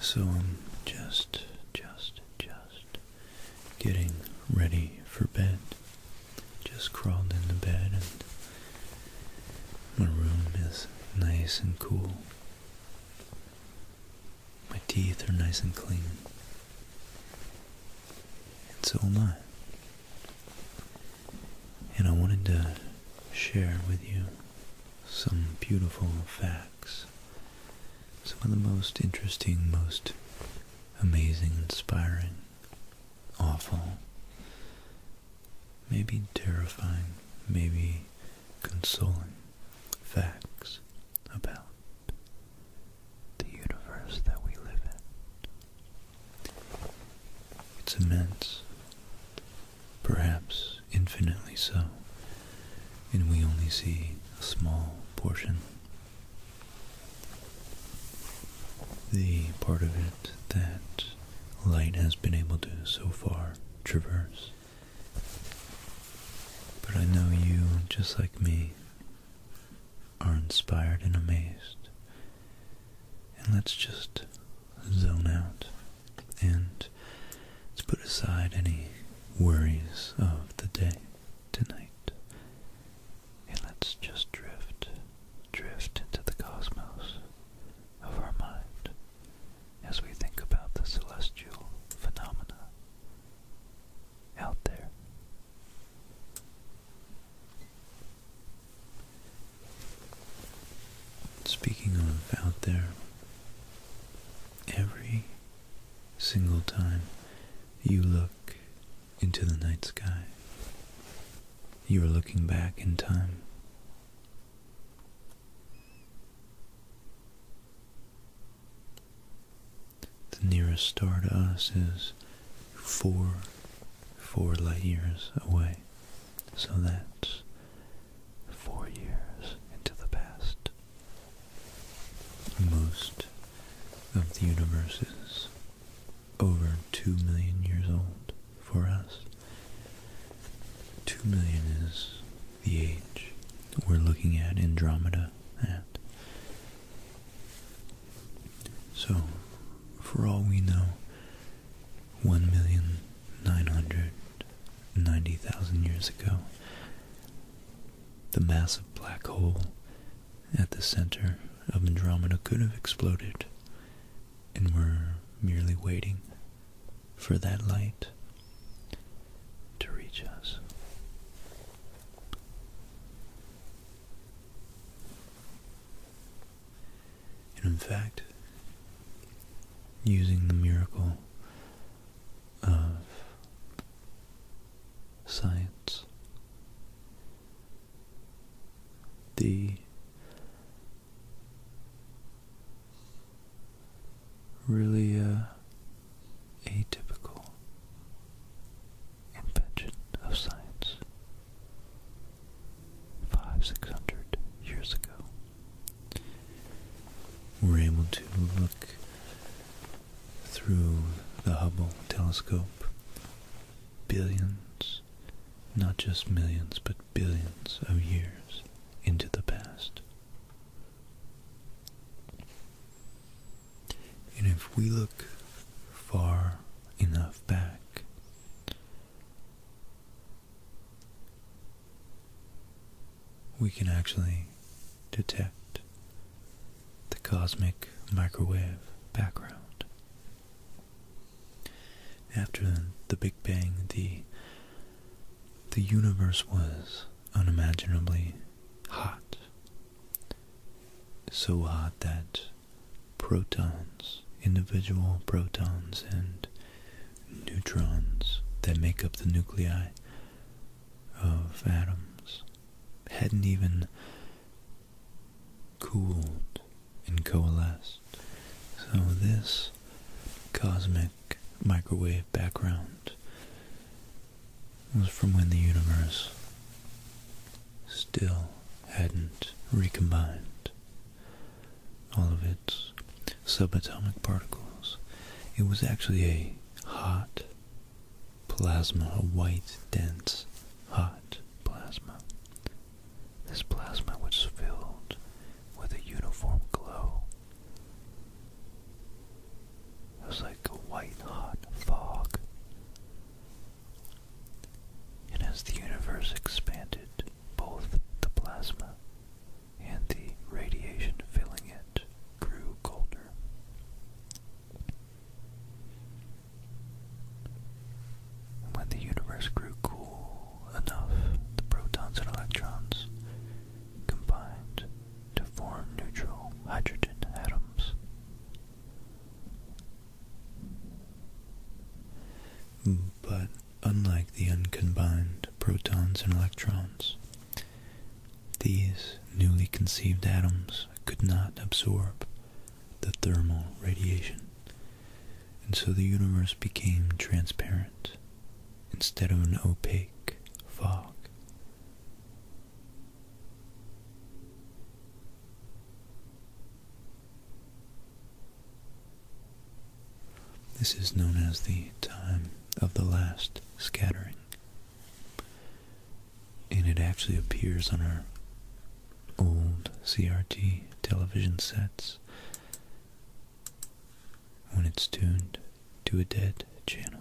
So I'm just, just, just getting ready for bed. Just crawled in the bed and my room is nice and cool. My teeth are nice and clean. And so am I. And I wanted to share with you some beautiful facts. Some of the most interesting, most amazing, inspiring, awful, maybe terrifying, maybe consoling facts about the universe that we live in. It's immense, perhaps infinitely so, and we only see a small portion. The part of it that light has been able to so far traverse. But I know you, just like me, are inspired and amazed. And let's just zone out and let's put aside any worries of the day tonight. And let's just drift, drift into the cosmos of our mind as we think about the celestial phenomena out there. Speaking of out there, every single time you look into the night sky, you are looking back in time the nearest star to us is four, four light years away. So that's four years into the past. Most of the universe is over two million years old for us. Two million is the age we're looking at Andromeda at. So, for all we know, 1,990,000 years ago, the massive black hole at the center of Andromeda could have exploded, and we're merely waiting for that light to reach us. And in fact, using the miracle of science, the really uh, atypical invention of science five, six hundred years ago. We're able to look through the Hubble telescope billions, not just millions, but billions of years into the past. And if we look far enough back, we can actually detect the cosmic microwave background. After the Big Bang, the the universe was unimaginably hot, so hot that protons, individual protons and neutrons that make up the nuclei of atoms hadn't even cooled and coalesced. So this cosmic microwave background was from when the universe still hadn't recombined all of its subatomic particles. It was actually a hot plasma, a white, dense, hot plasma. This plasma was filled with a uniform glow it was like a white hot fog. And as the universe expanded, both the plasma and the radiation filling it grew colder. when the universe grew cool enough, the protons and electrons combined to form neutral hydrogen atoms. Mm, but unlike the uncombined protons and electrons, these newly conceived atoms could not absorb the thermal radiation, and so the universe became transparent instead of an opaque fog. This is known as the time of the last scattering. And it actually appears on our old CRT television sets when it's tuned to a dead channel.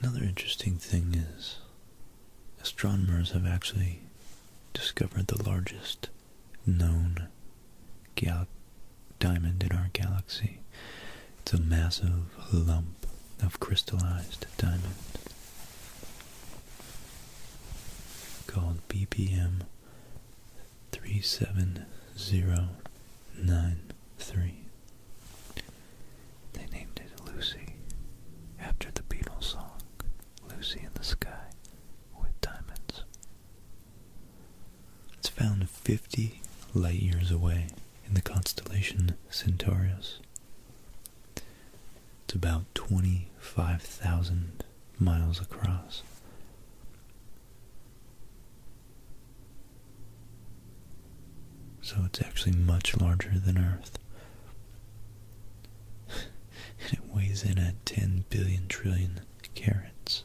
Another interesting thing is astronomers have actually discovered the largest known diamond in our galaxy. It's a massive lump of crystallized diamond called BPM 37093. They named it Lucy after the Beatles song, Lucy in the Sky with Diamonds. It's found 50 light years away in the constellation Centaurus. It's about 25,000 miles across. So it's actually much larger than Earth. and it weighs in at 10 billion trillion carats.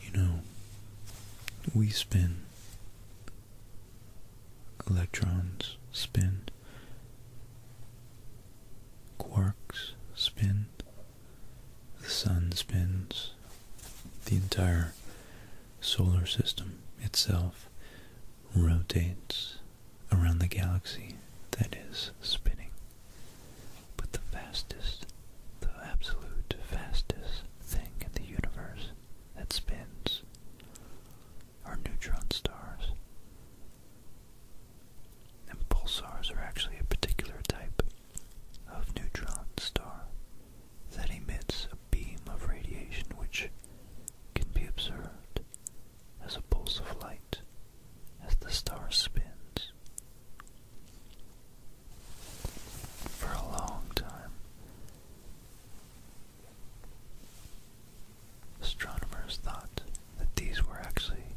you know, we spin, electrons spin, quarks spin, the sun spins, the entire solar system itself rotates around the galaxy that is spinning. But the fastest, the absolute fastest thing in the universe that spins are neutron stars. And pulsars are actually a particular type of neutron star that emits a beam of radiation which can be observed as a pulse of light as the star spins for a long time. Astronomers thought that these were actually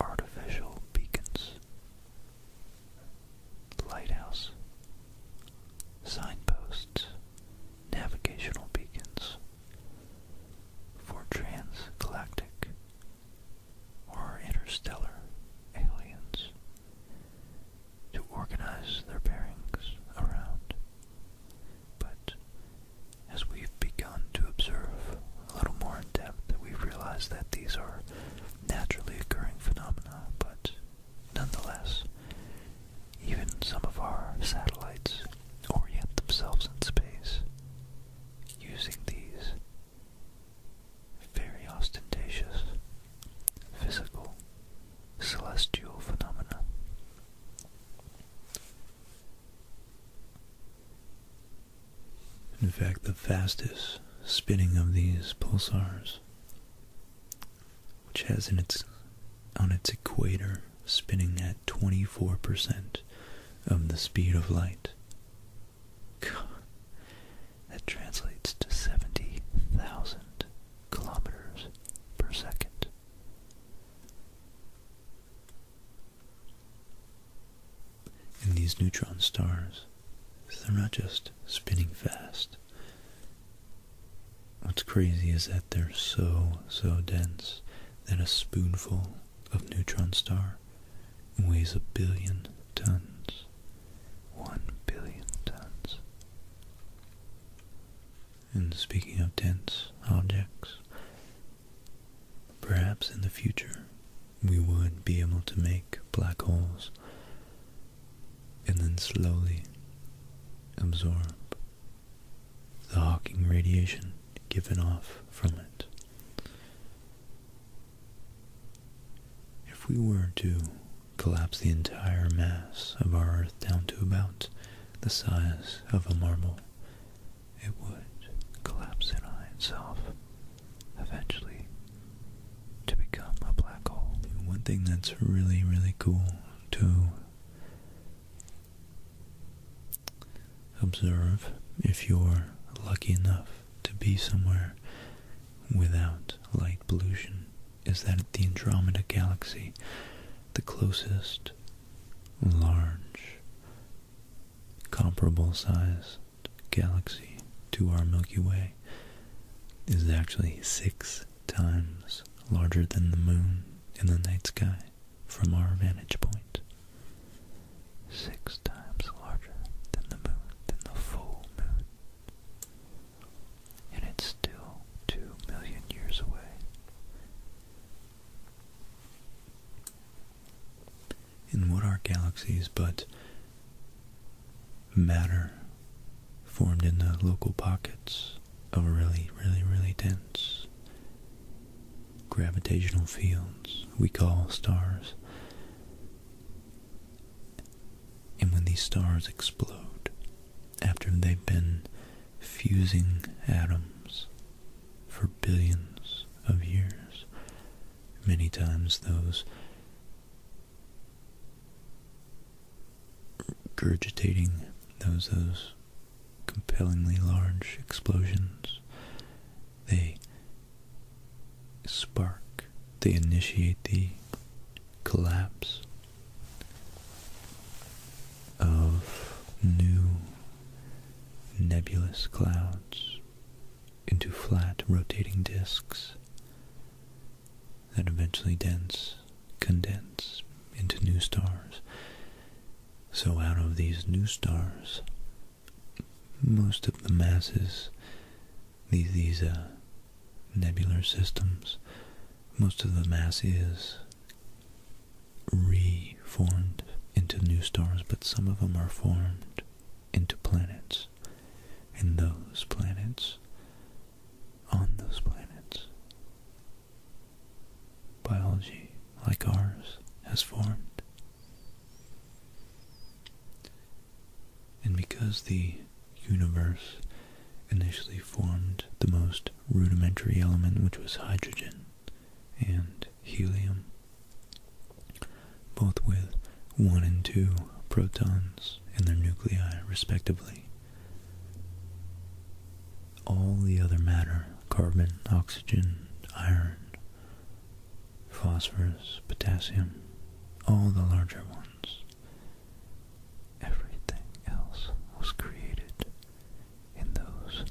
artificial beacons, lighthouse, signposts, navigational beacons for transgalactic or interstellar aliens to organize their bearings around. But as we've begun to observe a little more in depth, we've realized that these are naturally occurring phenomena, but nonetheless, even some of our satellites orient themselves in space using these very ostentatious, physical, celestial phenomena. In fact, the fastest spinning of these pulsars, which has in its on its equator spinning at 24% of the speed of light. God. That translates to 70,000 kilometers per second. In these neutron stars, they're not just spinning fast. What's crazy is that they're so, so dense that a spoonful of neutron star weighs a billion tons. 1 billion tons. And speaking of dense objects, perhaps in the future we would be able to make black holes and then slowly absorb the Hawking radiation given off from it. If we were to collapse the entire mass of our Earth down to about the size of a marble, it would collapse in on itself, eventually, to become a black hole. One thing that's really, really cool to observe if you're lucky enough to be somewhere without light pollution is that the Andromeda Galaxy, the closest large comparable sized galaxy to our Milky Way, is actually six times larger than the moon in the night sky from our vantage point. Six times larger than the moon, than the full moon and it's still two million years away. And what are galaxies but matter formed in the local pockets of really, really, really dense gravitational fields we call stars? And when these stars explode, after they've been fusing atoms for billions of years, many times those regurgitating those those compellingly large explosions they spark they initiate the collapse of new nebulous clouds into flat rotating disks that eventually dense condense into new stars. So out of these new stars, most of the masses these these uh, nebular systems, most of the mass is reformed into new stars, but some of them are formed into planets, and those planets, on those planets, biology like ours has formed. And because the universe initially formed the most rudimentary element, which was hydrogen and helium, both with one and two protons in their nuclei, respectively. All the other matter, carbon, oxygen, iron, phosphorus, potassium, all the larger ones, Everything else was created in those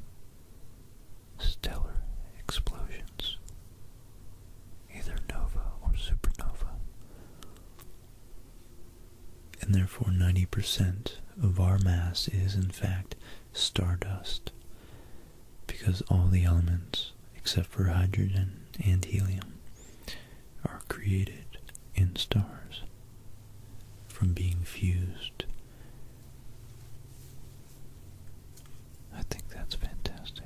stellar explosions, either nova or supernova. And therefore, 90% of our mass is, in fact, stardust, because all the elements, except for hydrogen and helium, are created in stars from being fused. I think that's fantastic.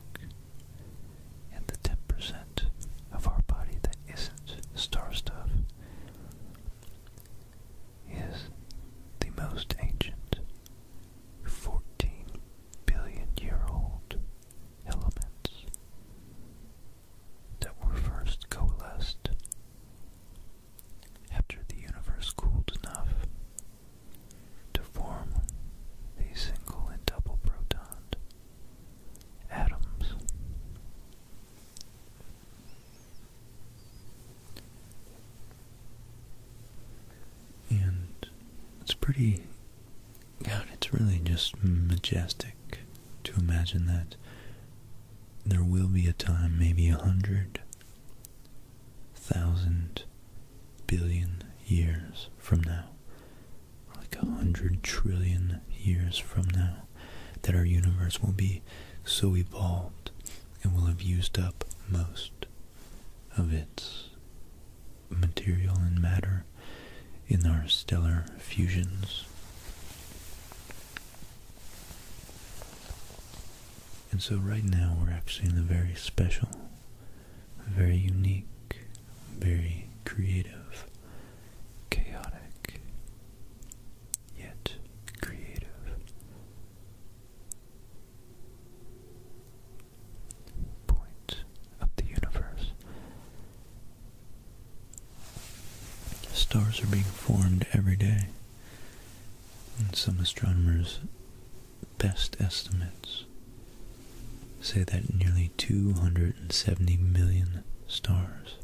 And the 10% of our body that isn't star stuff is the most ancient 14 billion year old elements that were first coalesced after the universe cooled enough to form the single and double proton atoms. And it's pretty God, it's really just majestic to imagine that there will be a time, maybe a hundred thousand billion years from now, like a hundred trillion years from now, that our universe will be so evolved and will have used up most of its material and matter in our stellar fusions. And so right now we're actually in a very special, very unique, very creative, chaotic, yet creative point of the universe. Stars are being formed every day, and some astronomers' best estimates say that nearly 270 million stars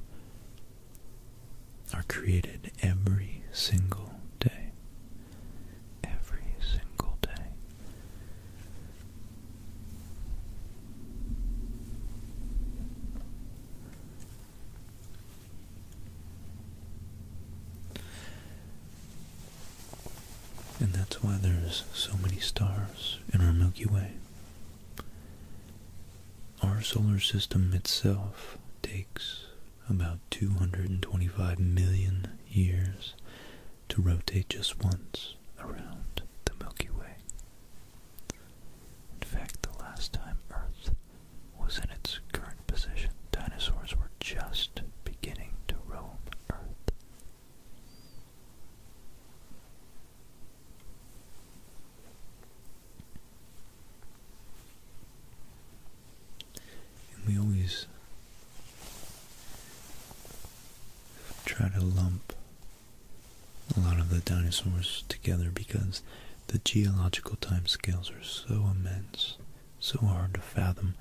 are created every single day. Every single day. And that's why there's so many stars in our Milky Way. Our solar system itself takes about 225 million years to rotate just once around the Milky Way. In fact, the last time Earth was in its current position, dinosaurs were just beginning to roam Earth. we always try to lump a lot of the dinosaurs together because the geological time scales are so immense, so hard to fathom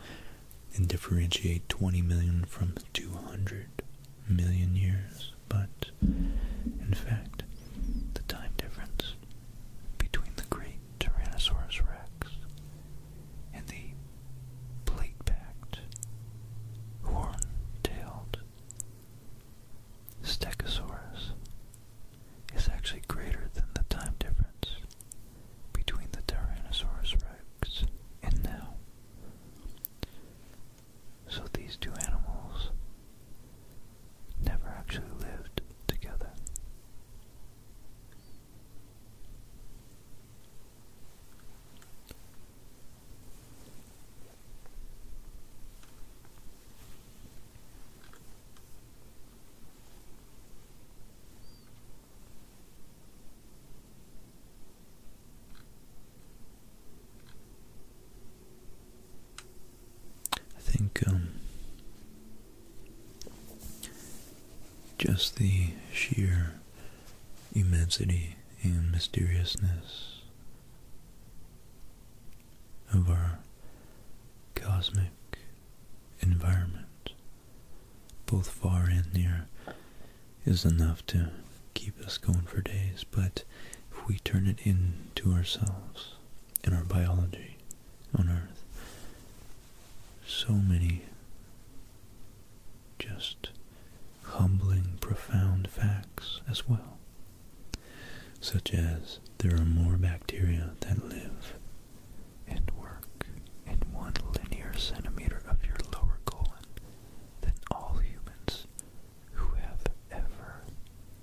and differentiate 20 million from 200 million years. But in fact, the time difference between the great Tyrannosaurus rex and the plate packed, horn tailed Stegosaurus is actually greater than the time difference between the Tyrannosaurus rex and now. So these two animals never actually lived together. I think um, just the sheer immensity and mysteriousness of our cosmic environment, both far and near, is enough to keep us going for days. But if we turn it into ourselves and our biology on Earth, so many just humbling, profound facts as well, such as there are more bacteria that live and work in one linear centimeter of your lower colon than all humans who have ever,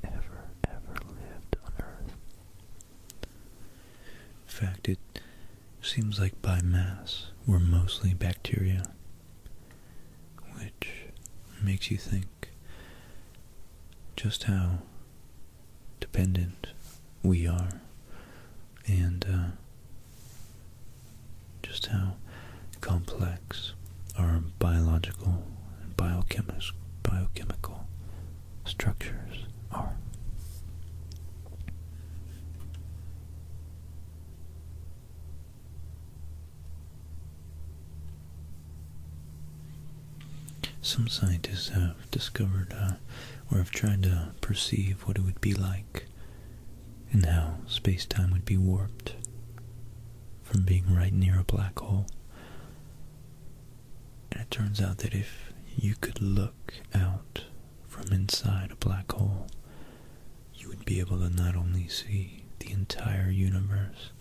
ever, ever lived on Earth. In fact, it seems like by mass, we're mostly bacteria which makes you think just how dependent we are and uh, just how complex our biological and biochemi biochemical structures are. Some scientists have discovered uh, or have tried to perceive what it would be like and how space-time would be warped from being right near a black hole. And it turns out that if you could look out from inside a black hole, you would be able to not only see the entire universe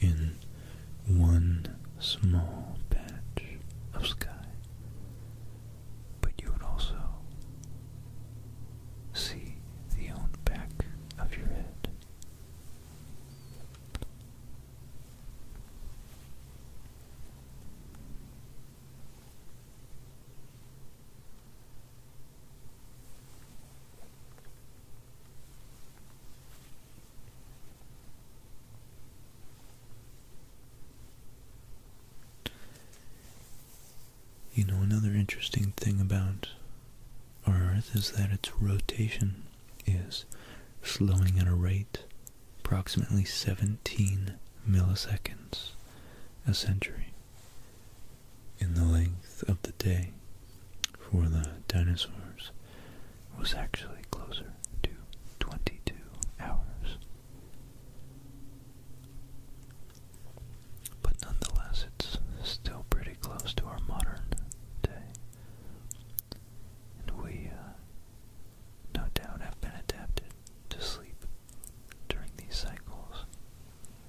in one small patch of sky, but you would also see the own back of your head. You know, another interesting thing about Earth is that its rotation is slowing at a rate approximately 17 milliseconds a century in the length of the day for the dinosaurs was actually closer to 22 hours. But nonetheless, it's still pretty close to our modern day. And we, uh, no doubt, have been adapted to sleep during these cycles.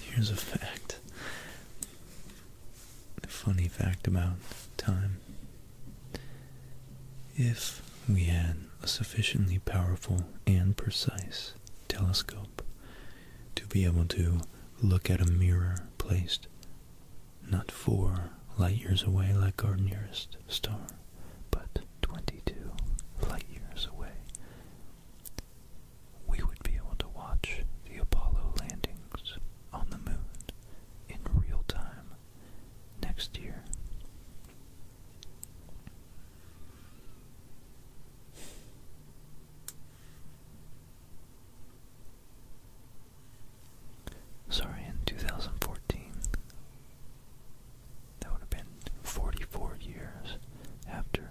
Here's a fact. A funny fact about time. If we had a sufficiently powerful and precise telescope to be able to look at a mirror placed not four light years away like our nearest star, but 22 light years away, we would be able to watch the Apollo landings on the moon in real time next year. Sorry, in 2014, that would have been 44 years after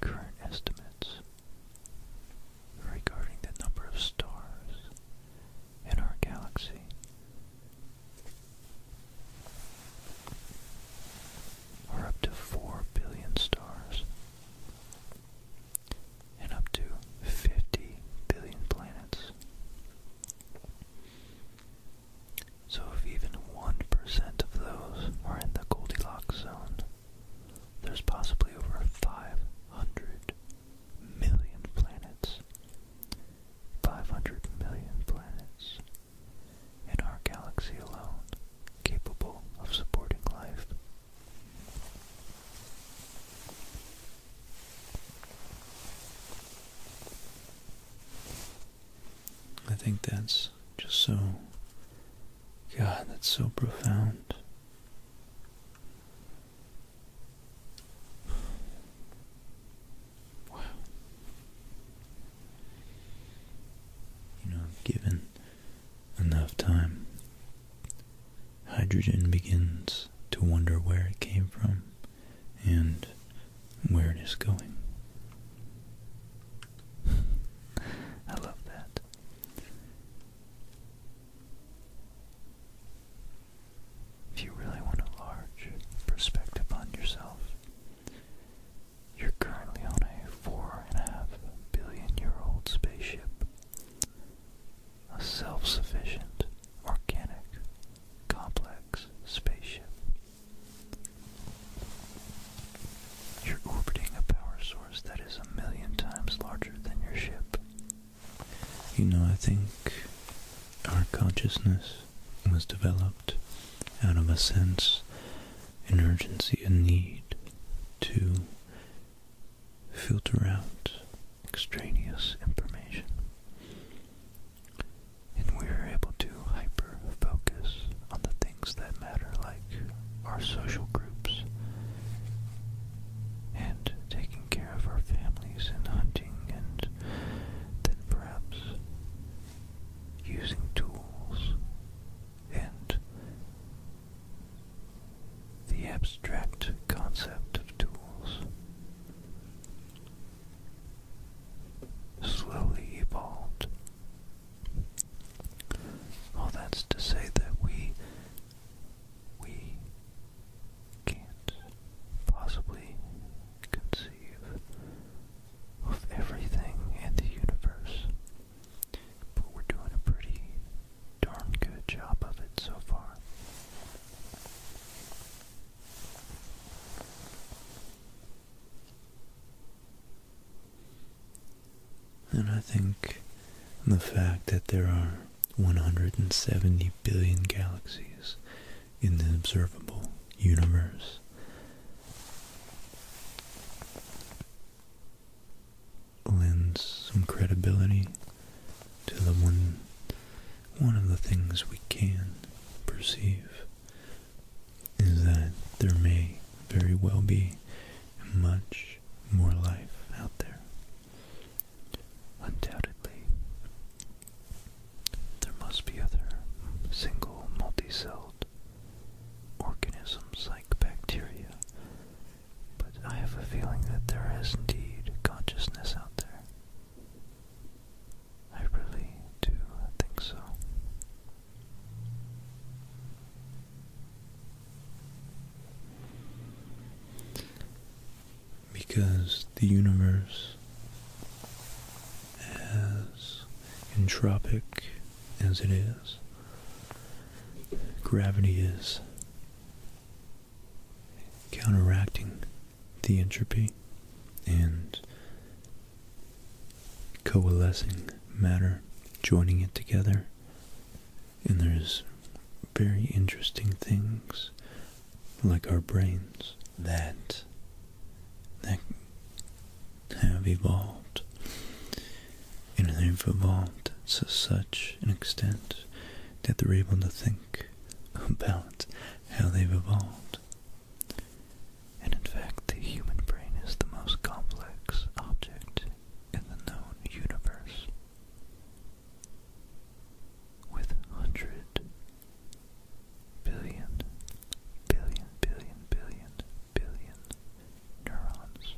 Current estimates regarding the number of stars in our galaxy. Are up to 4 billion stars and up to 50 billion planets. So if even 1% of those are in the Goldilocks zone, there's possibly over 500 million planets. 500 million planets in our galaxy alone capable of supporting life. I think that's just so, God, that's so profound. Wow. You know, given enough time, hydrogen begins to wonder where it came from and where it is going. I love that. If you really want a large perspective on yourself, you're currently on a four and a half billion year old spaceship. A self sufficient, organic, complex spaceship you're orbiting a power source that is a million times larger than your ship. You know, I think our consciousness was developed out of a sense, an urgency, a need to filter out extraneous information. And we are able to focus on the things that matter, like our social groups and taking care of our families and hunting, and then perhaps using tools and the abstract concept of tools slowly evolved all that's to say that we we can't possibly conceive of everything in the universe. But we're doing a pretty darn good job of it so far. And I think the fact that there are 170 billion galaxies in the observable universe lends some credibility to the one one of the things we can perceive is that there may very well be much more life out there. Undoubtedly, there must be other single multi-celled organisms like bacteria, but I have a feeling that there is indeed consciousness out there. I really do think so. Because the universe, as entropic as it is, gravity is counteracting the entropy and coalescing matter, joining it together. And there's very interesting things like our brains that that have evolved and they've evolved to such an extent that they're able to think about how they've evolved and in fact the human brain is the most complex object in the known universe. With hundred billion, billion, billion, billion, billion neurons.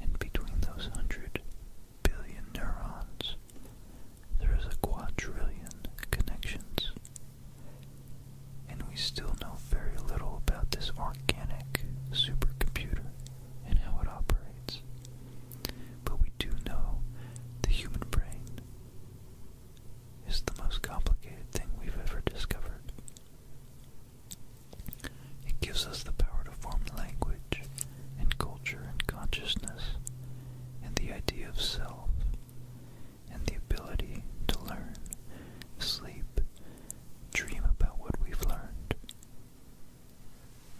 And between those hundred billion neurons, there is a quadrillion connections and we still know very little about this organic supercomputer and how it operates. But we do know the human brain is the most complicated thing we've ever discovered. It gives us the power to form language and culture and consciousness and the idea of self and the ability to learn, sleep, dream about what we've learned.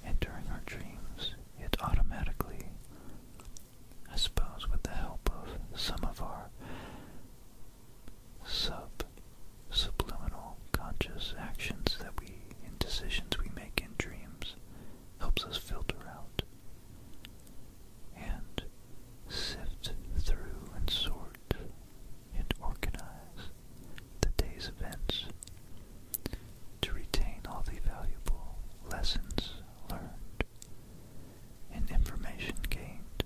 And during our dreams, it automatically, I suppose with the help of some of our sub subliminal conscious actions that we in decisions we make in dreams helps us filter out and sift through and sort and organize the day's events to retain all the valuable lessons learned and information gained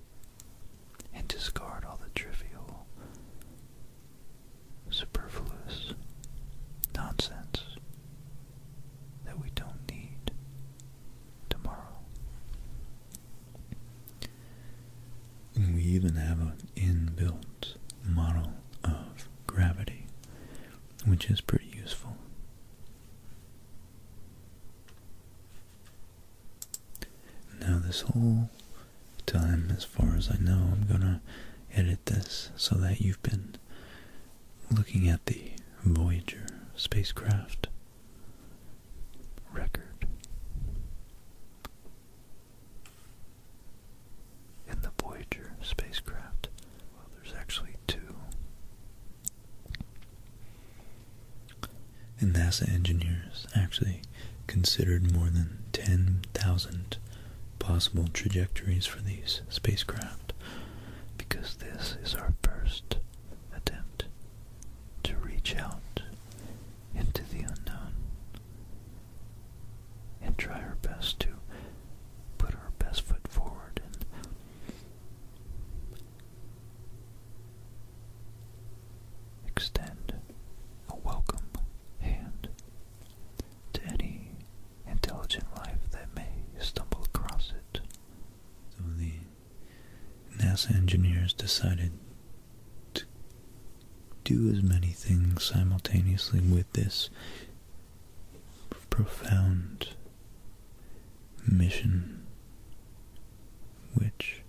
and discard all the trivial, superfluous nonsense that we don't need tomorrow. We even have an inbuilt model of gravity, which is pretty useful. Now this whole time, as far as I know, I'm going to edit this so that you've been looking at the Voyager spacecraft record. In the Voyager spacecraft, well, there's actually two. And NASA engineers actually considered more than 10,000 possible trajectories for these spacecraft because this is our first attempt to reach out into the unknown and try our best to put our best foot forward and extend a welcome hand to any intelligent life that may stumble across it. NASA engineers decided to do as many things simultaneously with this profound mission, which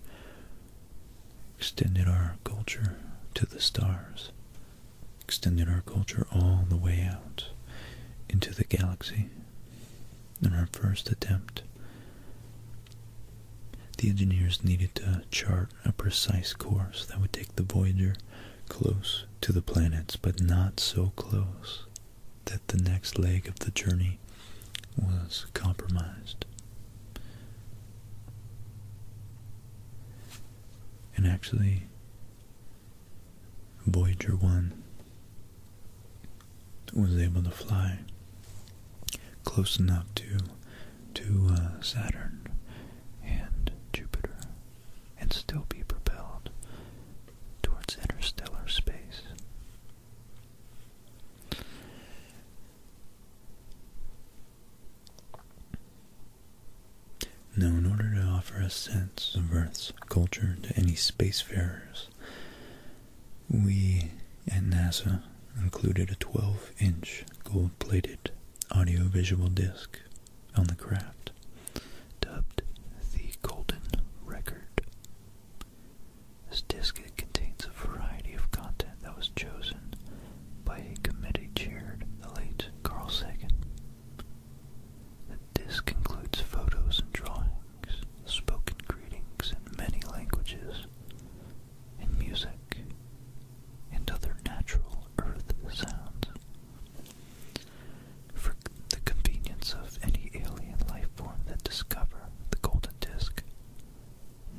extended our culture to the stars, extended our culture all the way out into the galaxy. In our first attempt the engineers needed to chart a precise course that would take the Voyager close to the planets, but not so close that the next leg of the journey was compromised. And actually, Voyager 1 was able to fly close enough to to uh, Saturn and Jupiter and still be propelled towards interstellar space. Now, in order to offer a sense of Earth's culture to any spacefarers, we at NASA included a 12-inch gold-plated audio-visual disc on the craft, dubbed the Golden Record. This disc contains a variety of content that was chosen by a committee chaired the late Carl Sagan. The disc includes photos and drawings, spoken greetings in many languages, and music and other natural earth sounds. For the convenience of any alien life form that discover the golden disk,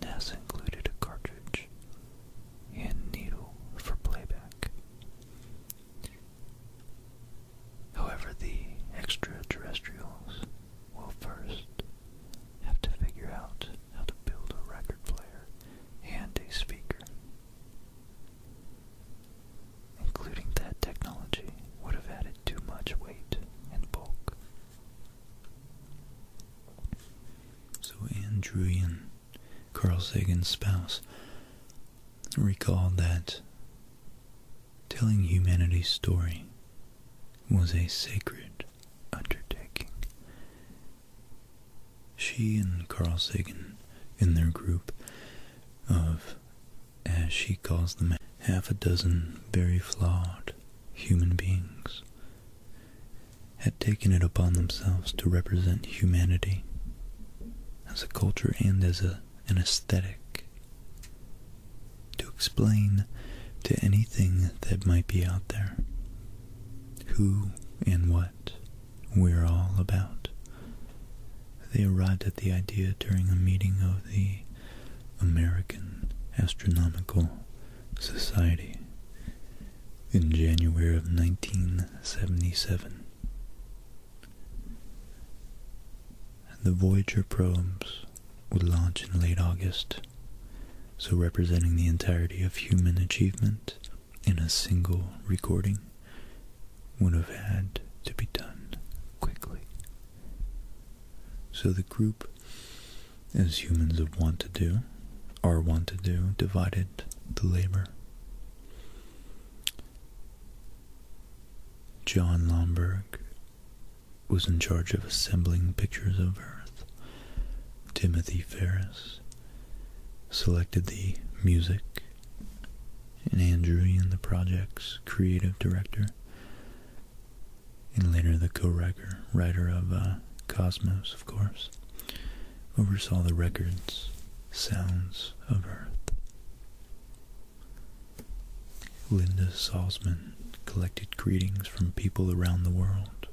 NASA included a cartridge and needle for playback. However, the extraterrestrials will first have to figure out how to build a record player and a speaker. Including that technology would have added too much weight and bulk. So Andrewian, Carl Sagan's spouse, recalled that telling humanity's story was a sacred undertaking. She and Carl Sagan, in their group of, as she calls them, half a dozen very flawed human beings, had taken it upon themselves to represent humanity as a culture and as an aesthetic to explain to anything that might be out there who and what we're all about. They arrived at the idea during a meeting of the American Astronomical Society in January of 1977. The Voyager probes would launch in late August, so representing the entirety of human achievement in a single recording would have had to be done quickly. So the group, as humans have want to do, or want to do, divided the labor. John Lomberg was in charge of assembling pictures of Earth. Timothy Ferris selected the music, and Andrew Ian, the project's creative director, and later the co-writer writer of uh, Cosmos, of course, oversaw the records, Sounds of Earth. Linda Salzman collected greetings from people around the world.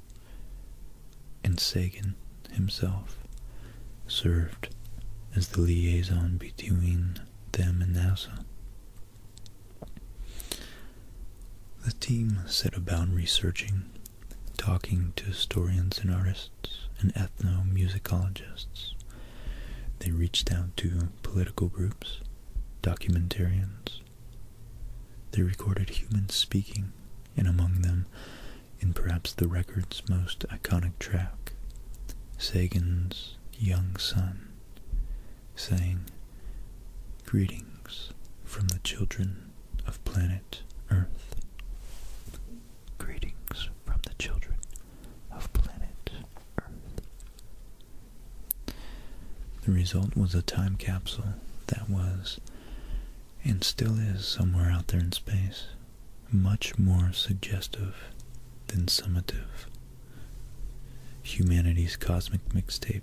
And Sagan himself served as the liaison between them and NASA. The team set about researching, talking to historians and artists and ethnomusicologists. They reached out to political groups, documentarians, they recorded humans speaking, and among them, in perhaps the record's most iconic track, Sagan's young son sang, Greetings from the children of planet Earth. Greetings from the children of planet Earth. The result was a time capsule that was, and still is somewhere out there in space, much more suggestive than summative. Humanity's Cosmic Mixtape.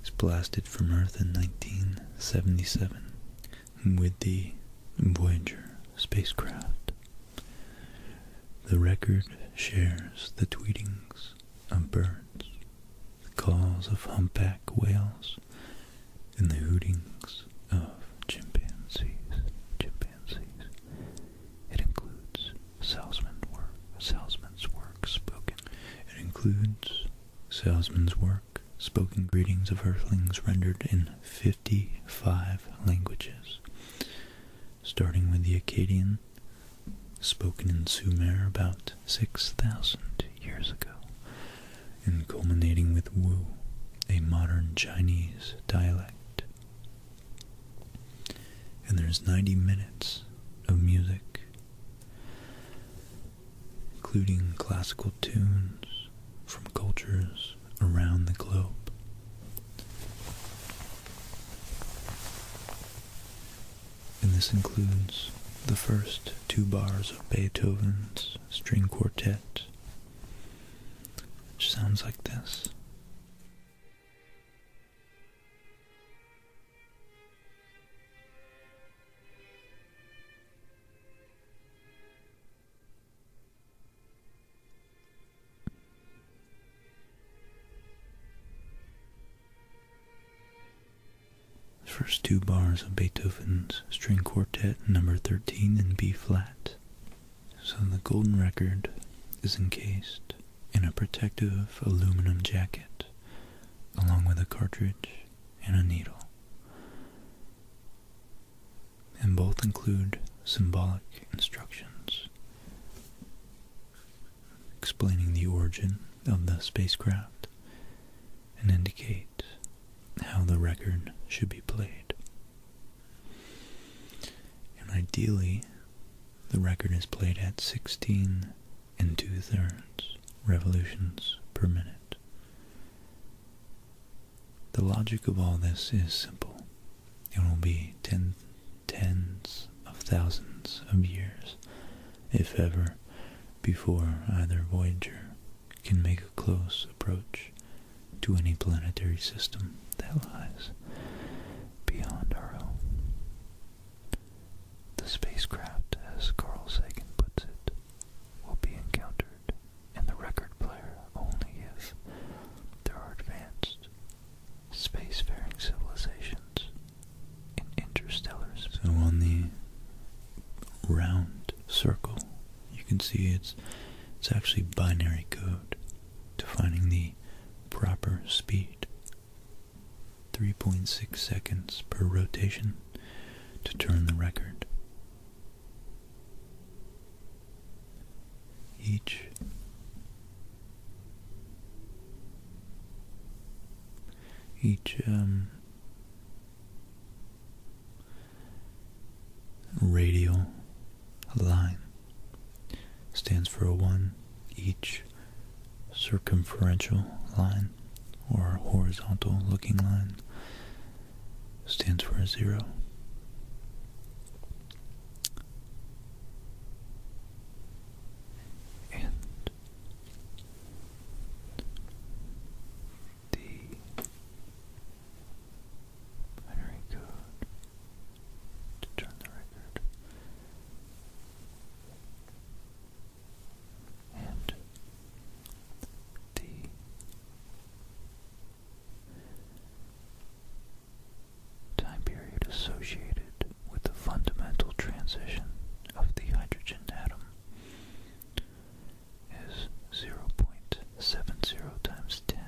It's blasted from Earth in 1977 with the Voyager spacecraft. The record shares the tweetings of birds, the calls of humpback whales, and the hootings of chimpanzees. It includes salesmen's work, spoken. greetings of earthlings rendered in 50 55 languages, starting with the Akkadian, spoken in Sumer about 6,000 years ago, and culminating with Wu, a modern Chinese dialect. And there's 90 minutes of music, including classical tunes from cultures around the globe. And this includes the first two bars of Beethoven's string quartet, which sounds like this first two bars of Beethoven's String Quartet, number 13 in B flat. So the golden record is encased in a protective aluminum jacket, along with a cartridge and a needle and both include symbolic instructions explaining the origin of the spacecraft and indicate how the record should be played. And ideally, the record is played at 16 and two thirds revolutions per minute. The logic of all this is simple. It will be tens of thousands of years, if ever, before either Voyager can make a close approach to any planetary system that lies beyond our own. The spacecraft, as Carl Sagan puts it, will be encountered and the record player only if there are advanced spacefaring civilizations in interstellar So on the round circle, you can see it's it's actually binary code defining the proper speed. 3.6 seconds per rotation to turn the record each each um, radial line stands for a one each circumferential line or horizontal looking line stands for a zero and the binary code to turn the record and the time period associated with the fundamental transition of the hydrogen atom is 0.70 times 10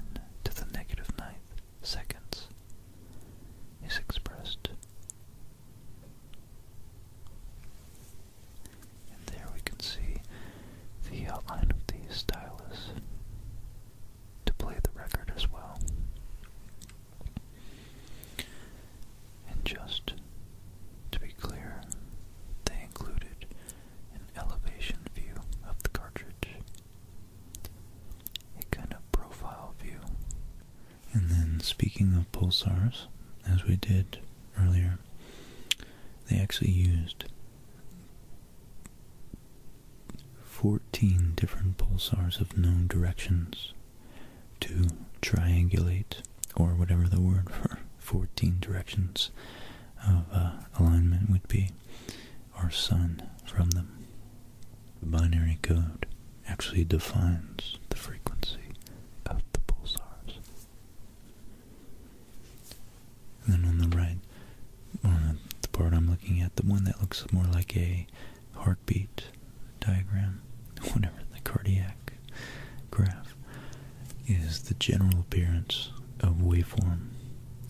to the negative ninth seconds is expressed. And there we can see the outline of the stylus to play the record as well. And just to be clear, they included an elevation view of the cartridge, a kind of profile view. And then, speaking of pulsars, as we did earlier, they actually used 14 different pulsars of known directions to triangulate, or whatever the word for 14 directions of uh, alignment would be, our sun from them. The binary code actually defines the frequency of the pulsars. And then on the right uh, the part I'm looking at, the one that looks more like a heartbeat diagram, whatever, the cardiac graph, is the general appearance of waveform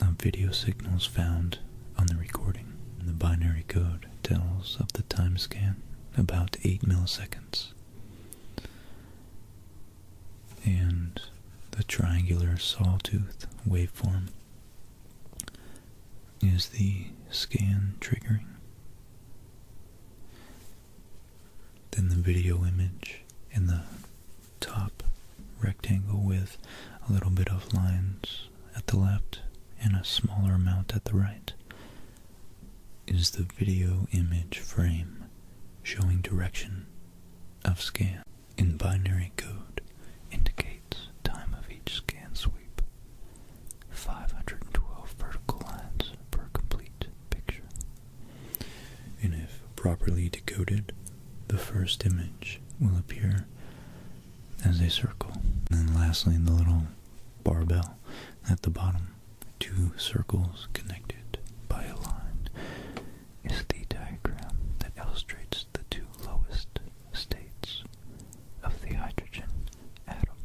of video signals found on the recording. the binary code tells of the time scan, about 8 milliseconds. And the triangular sawtooth waveform is the scan triggering. Then the video image in the top rectangle with a little bit of lines at the left and a smaller amount at the right is the video image frame showing direction of scan in binary code indicates time of each scan sweep. 512 vertical lines per complete picture. And if properly decoded, the first image will appear as a circle. And lastly, the little barbell at the bottom, two circles connected by a line, is the diagram that illustrates the two lowest states of the hydrogen atom.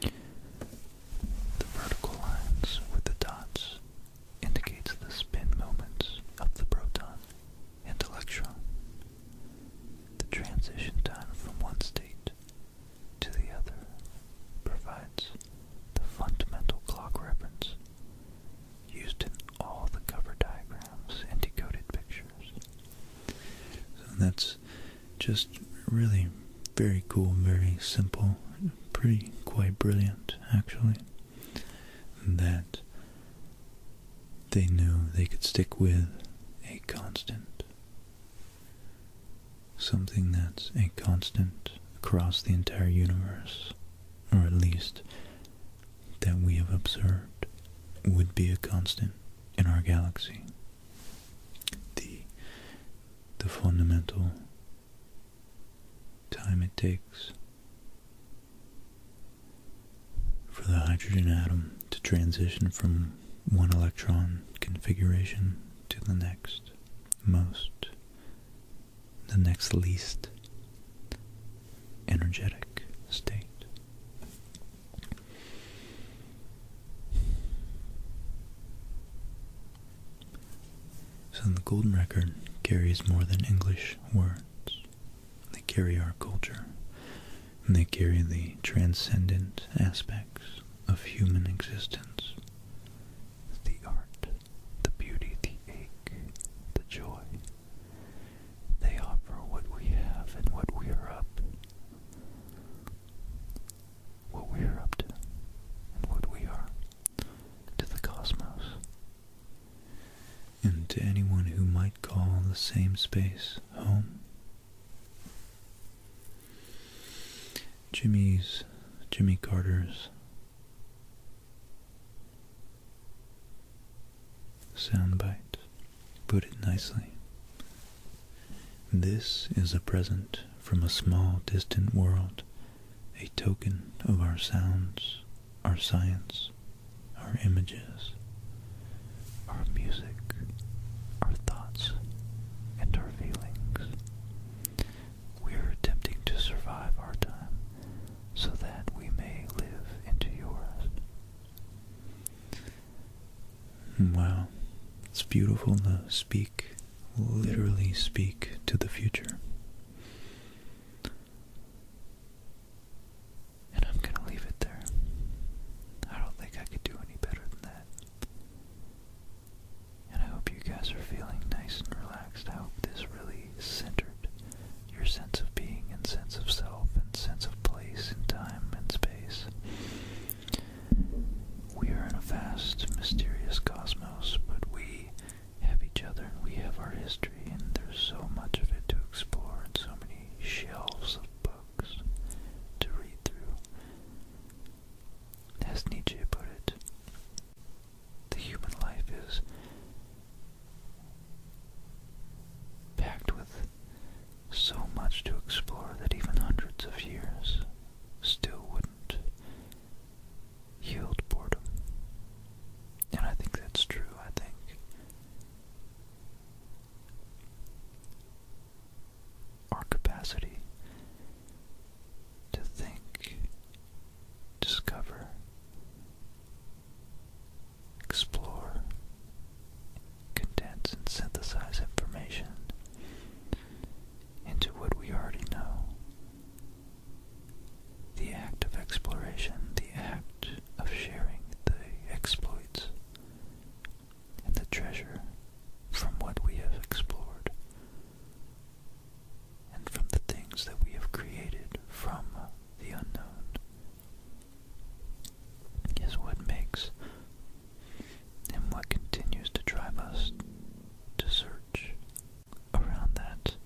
The vertical lines with the dots indicates the spin moments of the proton and electron. The transition time from one state to the other provides the fundamental clock reference used in all the cover diagrams and decoded pictures. So that's just really very cool, very simple, pretty quite brilliant actually. That they knew they could stick with a constant. Something that's a constant across the entire universe, or at least that we have observed would be a constant in our galaxy. The, the fundamental time it takes for the hydrogen atom to transition from one electron configuration to the next most the next least energetic state. So the Golden Record carries more than English words. They carry our culture. And they carry the transcendent aspects of human existence. The art, the beauty, the ache, the joy, they offer what we have and what we are up. What we are up to and what we are to the cosmos. And to anyone who might call the same space home. Jimmy's, Jimmy Carter's Sound Soundbite put it nicely. This is a present from a small distant world, a token of our sounds, our science, our images, our music, our thoughts, and our feelings. We are attempting to survive our time so that we may live into yours. Wow, it's beautiful to speak, literally speak to the future. And I'm going to leave it there. I don't think I could do any better than that. And I hope you guys are feeling nice and relaxed. I hope this really centered your sense of being and sense of self and sense of place and time and space. We are in a vast, mysterious cosmos, but we have each other and we have our history, and there's so much of it to explore and so many shelves of books to read through. As Nietzsche put it, the human life is packed with so much to explore that even hundreds of years still wouldn't yield boredom. And I think that's true, I think. Our capacity to think, discover, explore, condense, and synthesize information into what we already know. The act of exploration, the act of sharing the exploits and the treasure from what we have explored and from the things that we have created from the unknown is what makes and what continues to drive us to search around that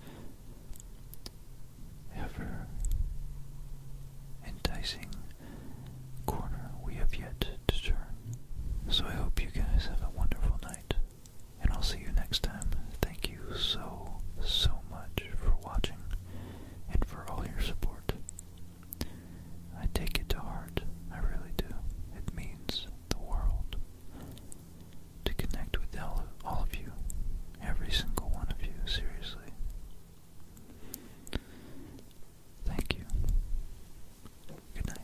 ever enticing corner we have yet to turn. So I hope you guys have a wonderful night, and I'll see you next time. Thank you so, so much for watching and for all your support. I take it to heart, I really do. It means the world to connect with all, of you, every single one of you, seriously. Thank you. Good night.